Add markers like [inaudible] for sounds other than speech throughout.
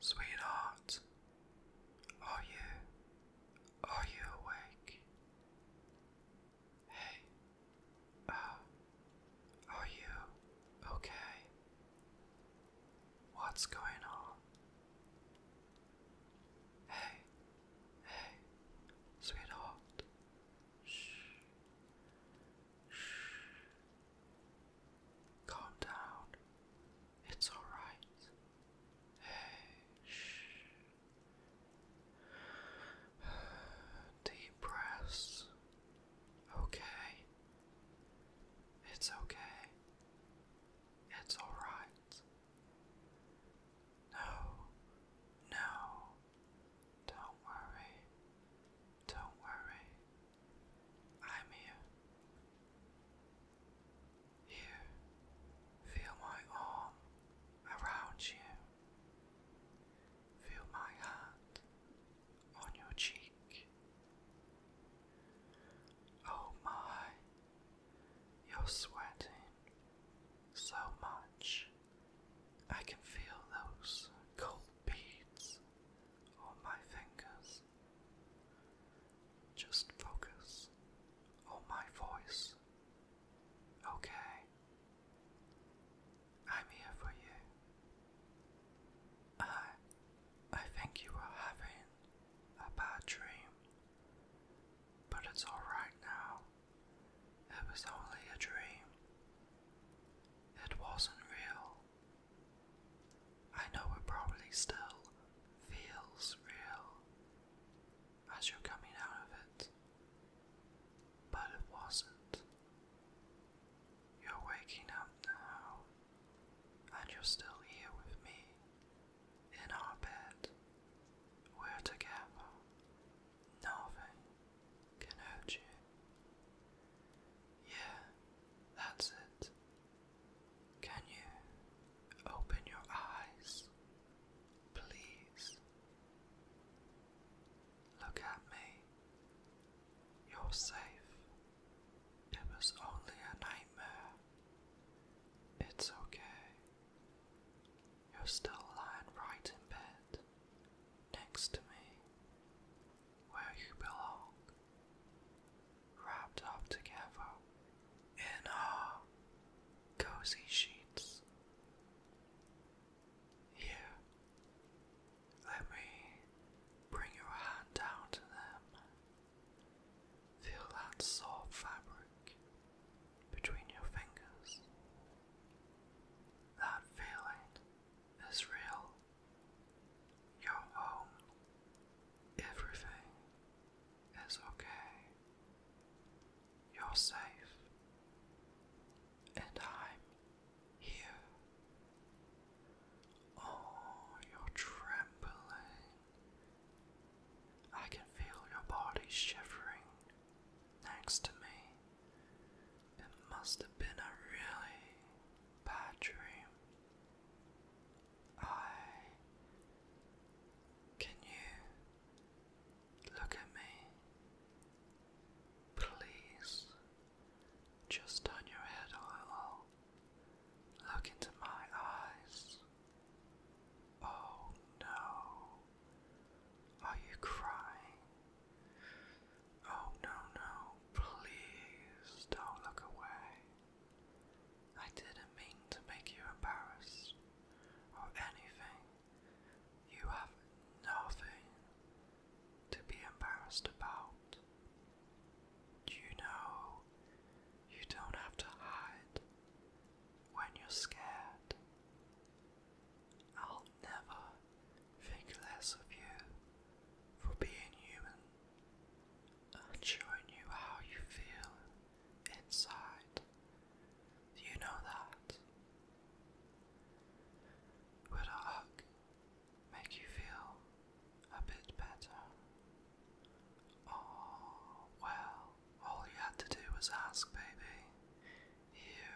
Sweetheart, are you, are you awake? Hey, uh, are you okay? What's going on? Hey, hey, sweetheart. Shh. Shh. Calm down. It's alright. Hey, shh. [sighs] Deep breaths. Okay. It's okay. It's alright. No, no. Don't worry. Don't worry. I'm here. Here, feel my arm around you. Feel my hand on your cheek. Oh my, you're sweating so much. I can feel those cold beads on my fingers. Just focus on my voice. Okay? I'm here for you. I I think you are having a bad dream. But it's alright now. It was only a dream. It wasn't real. I know it probably still feels real as you're coming out of it, but it wasn't. You're waking up now, and you're still here with me in our bed. We're together. Nothing can hurt you. Yeah, that's it. Can you open your eyes, please? Look at me. You're safe. It was only a nightmare. It's okay. You're still lying right in bed next to me where you belong, wrapped up together in our uh, cozy sheets. Here, let me bring your hand down to them. Feel that soft fabric between your fingers. That feeling is real your home. Everything is okay. You're safe. And I'm here. Oh, you're trembling. I can feel your body shivering next to me. It must have been a really bad dream. I. Can you look at me? Please. Just turn your head a little. Look into my eyes. Oh no. Are you crying? Oh no, no. Please don't look away. I didn't mean to make you embarrassed or anything. You have nothing to be embarrassed about. You know, you don't have to hide when you're scared. I'll never think less of you for being human and showing you how you feel inside. Do you know that? Would a hug make you feel a bit better? Oh, well, all you had to do was ask, baby. You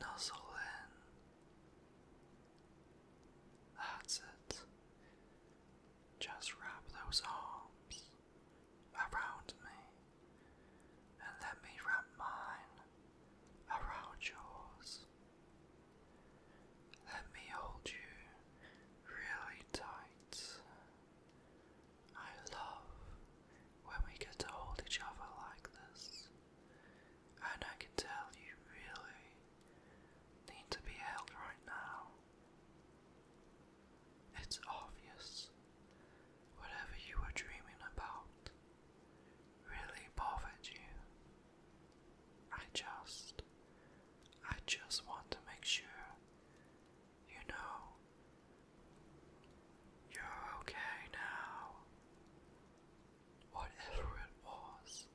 nuzzle in. That's it. Just wrap those arms around me and let me wrap mine around yours. Let me hold you really tight. I love when we get to hold each other like this, and I can tell you really need to be held right now. It's obvious. Whatever you were dreaming about really bothered you. I just. I just want to make sure you know you're okay now. Whatever it was,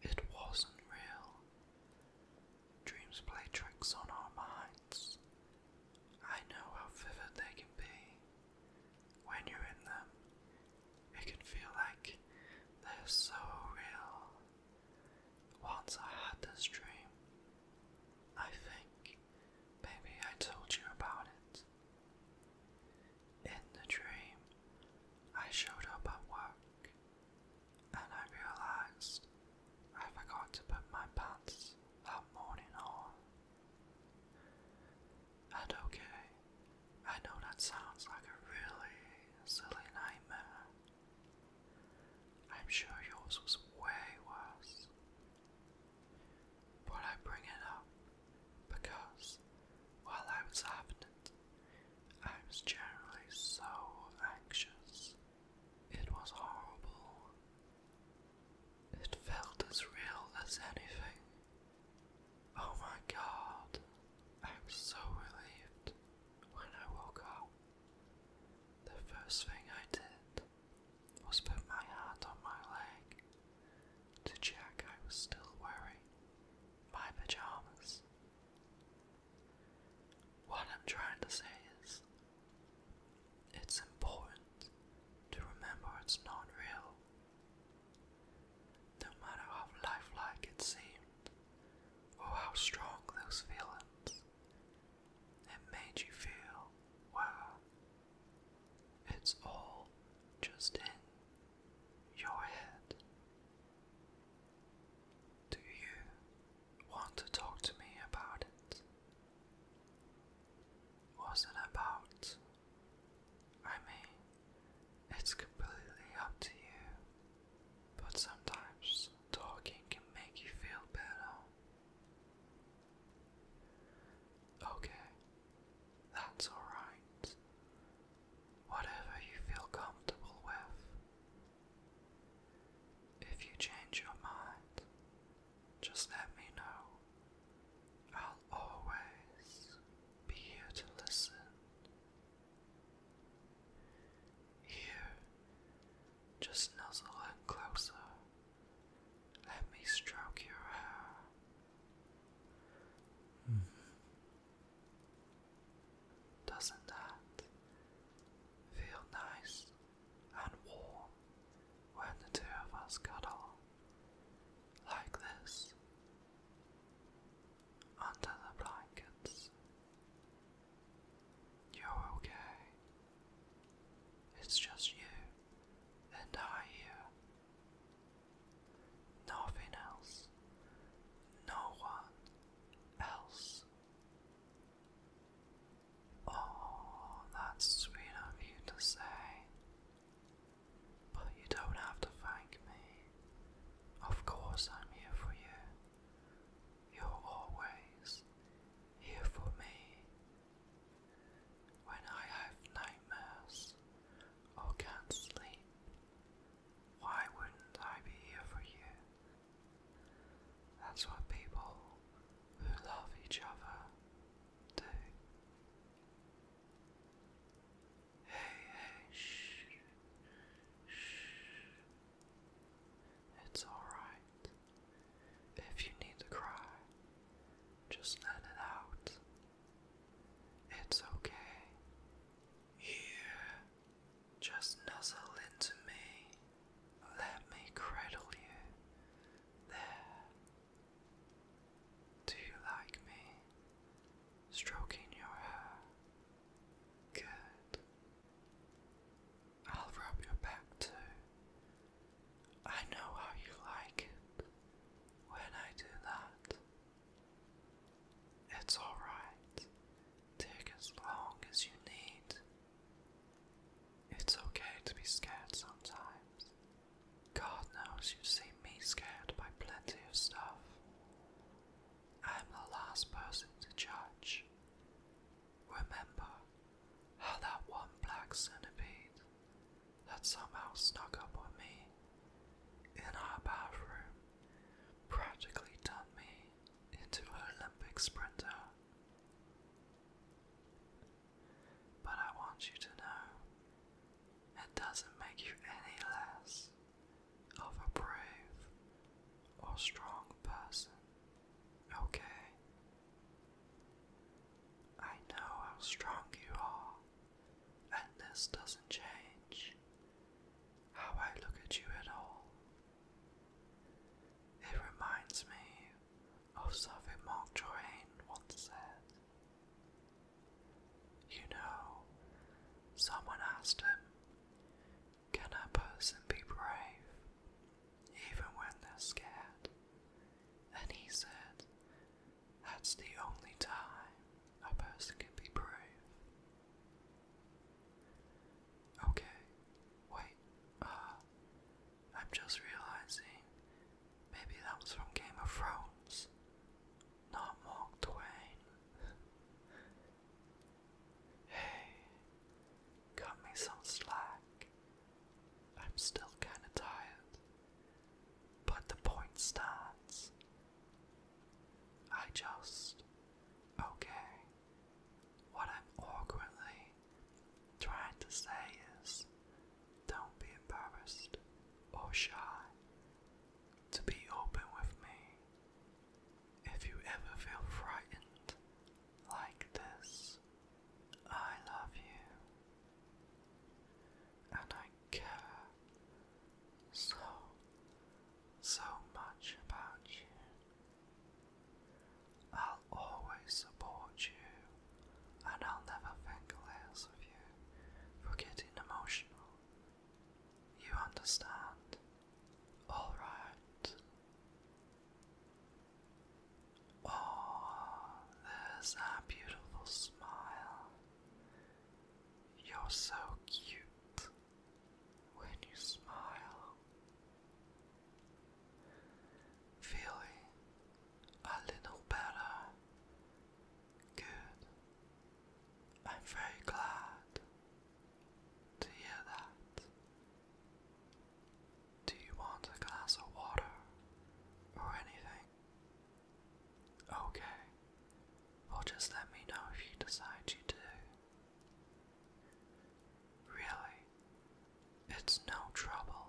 it wasn't real. Dreams play tricks on our minds. I know how vivid they can be. When you're in them, it can feel like they're so real. Once I had this dream, I think maybe I told you about it. In the dream, I showed up at work and I realized I forgot to put my pants that morning on. And okay, I know that sounds like a really silly nightmare. I'm sure yours was way worse. But I bring it up because while I was having it, I was generally so anxious. It was horrible. It felt as real as anything. Oh my god, I was so relieved when I woke up. The first thing I did was put my hand on my leg to check I was still wearing my pajamas. What I'm trying to say is, it's important to remember it's not real. No matter how lifelike it seemed, or how strong those feelings, it made you feel, wow, it's all just in your head. Do you want to talk to me about it? What's it about? I mean, it's completely up to you, but sometimes talking can make you feel better. Okay, that's alright whatever you feel comfortable with. If you change your mind, just let me know. I'll always be here to listen. Here, just nuzzle in closer. Let me stroke your hair. Hmm. Doesn't that feel nice and warm when the two of us cuddle like this under the blankets? You're okay. It's just you and I here. Nothing else. No one else. Oh, that's sweet of you to say. But you don't have to thank me. Of course, I'm here for you. You're always here for me. When I have nightmares or can't sleep, why wouldn't I be here for you? That's what people who love each other do. Hey, hey, shh, shh. It's alright. If you need to cry, just let it out. It's okay. Here just nuzzle into me. Let me cradle you. There. Do you like me? Stroking your hair. Good. I'll rub your back too. I know how you like it when I do that. It's alright. Take as long as you need. It's okay to be scared sometimes. God knows you've seen me scared by plenty of stuff. I'm the last person to judge. Remember how that one black centipede that somehow snuck up on me in our bathroom practically done me into an Olympic sprinter. But I want you to know it doesn't make you any less of a brave or strong person, okay? I know how strong you are, and this doesn't change how I look at you at all. It reminds me of something Mark Twain once said. You know, someone asked him, Can a person be brave even when they're scared? And he said, That's the only time a person can be brave Okay, wait, uh, I'm just realizing maybe that was from Game of Thrones, not Mark Twain. [laughs] hey, cut me some slack. I'm still kinda tired, but the point stands. I just. Okay, what I'm awkwardly trying to say is don't be embarrassed or shy to be open with me. If you ever feel frightened like this, I love you and I care so, so much about you. I'll always support you, and I'll never think less of you for getting emotional. You understand? Alright. Oh, there's that beautiful smile. You're so cute when you smile, feeling a little better. Good. I'm very glad to hear that. Do you want a glass of water or anything? Okay. Well, just let me know if you decide you do. Really, it's no trouble.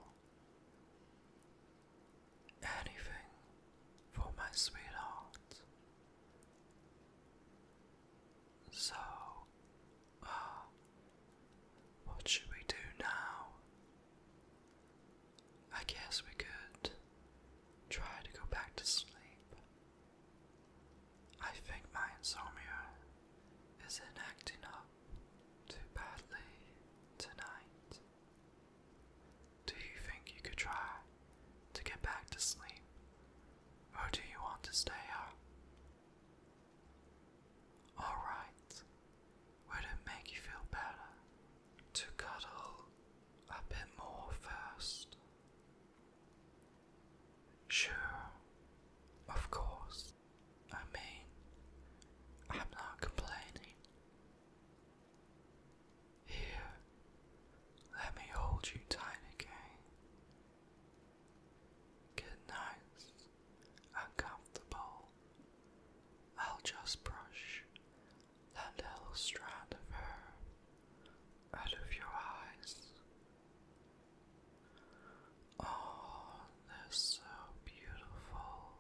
Anything for my sweetheart. So, uh, what should we do now? I guess we could try to go back to sleep. I think my insomnia isn't acting up too badly tonight. Do you think you could try to get back to sleep, or do you want to stay up? Alright, would it make you feel better to cuddle a bit more first? Sure, of course. I mean, I'm not complaining. Here, let me hold you tight again. Get nice and I'll just brush that little strand of hair out of your eyes. Oh, they're so beautiful.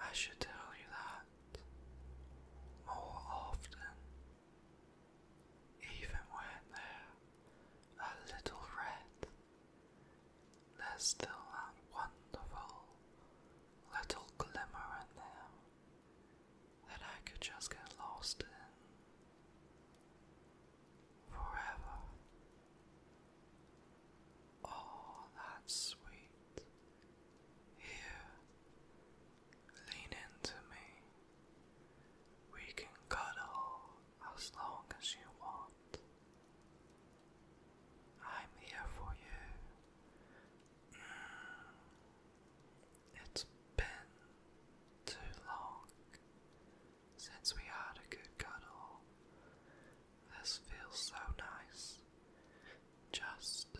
I should tell you that more often, even when they're a little red, they still that wonderful little glimmer in them that I could just get lost in forever. Oh, that's sweet. Here, lean into me. We can cuddle as long as you want. I'm here for you. Mm. It's been too long since we had a good cuddle. This feels so nice. Just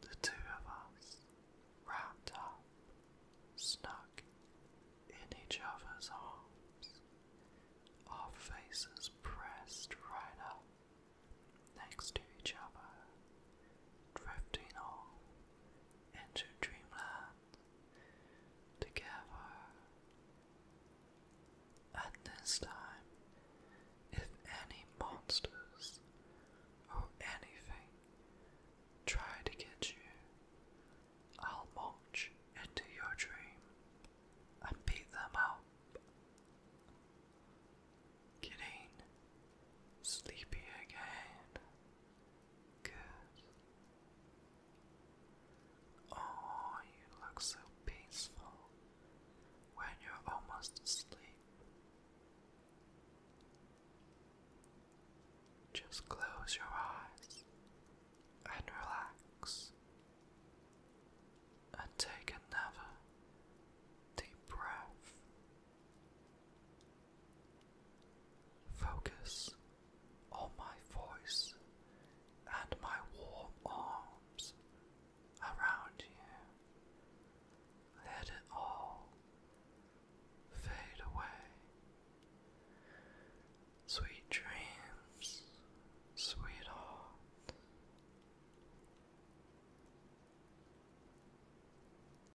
the two of us wrapped up, snug in each other's arms, our faces pressed right up next to each other, drifting off into dreamland together. At this time, if any monsters or anything try to get you, I'll march into your dream and beat them up. Getting sleepy again. Good. Oh, you look so peaceful when you're almost asleep. Just close your eyes and relax and take another deep breath. Focus on my voice and my warm arms around you. Let it all fade away. Sweet dreams, sweetheart.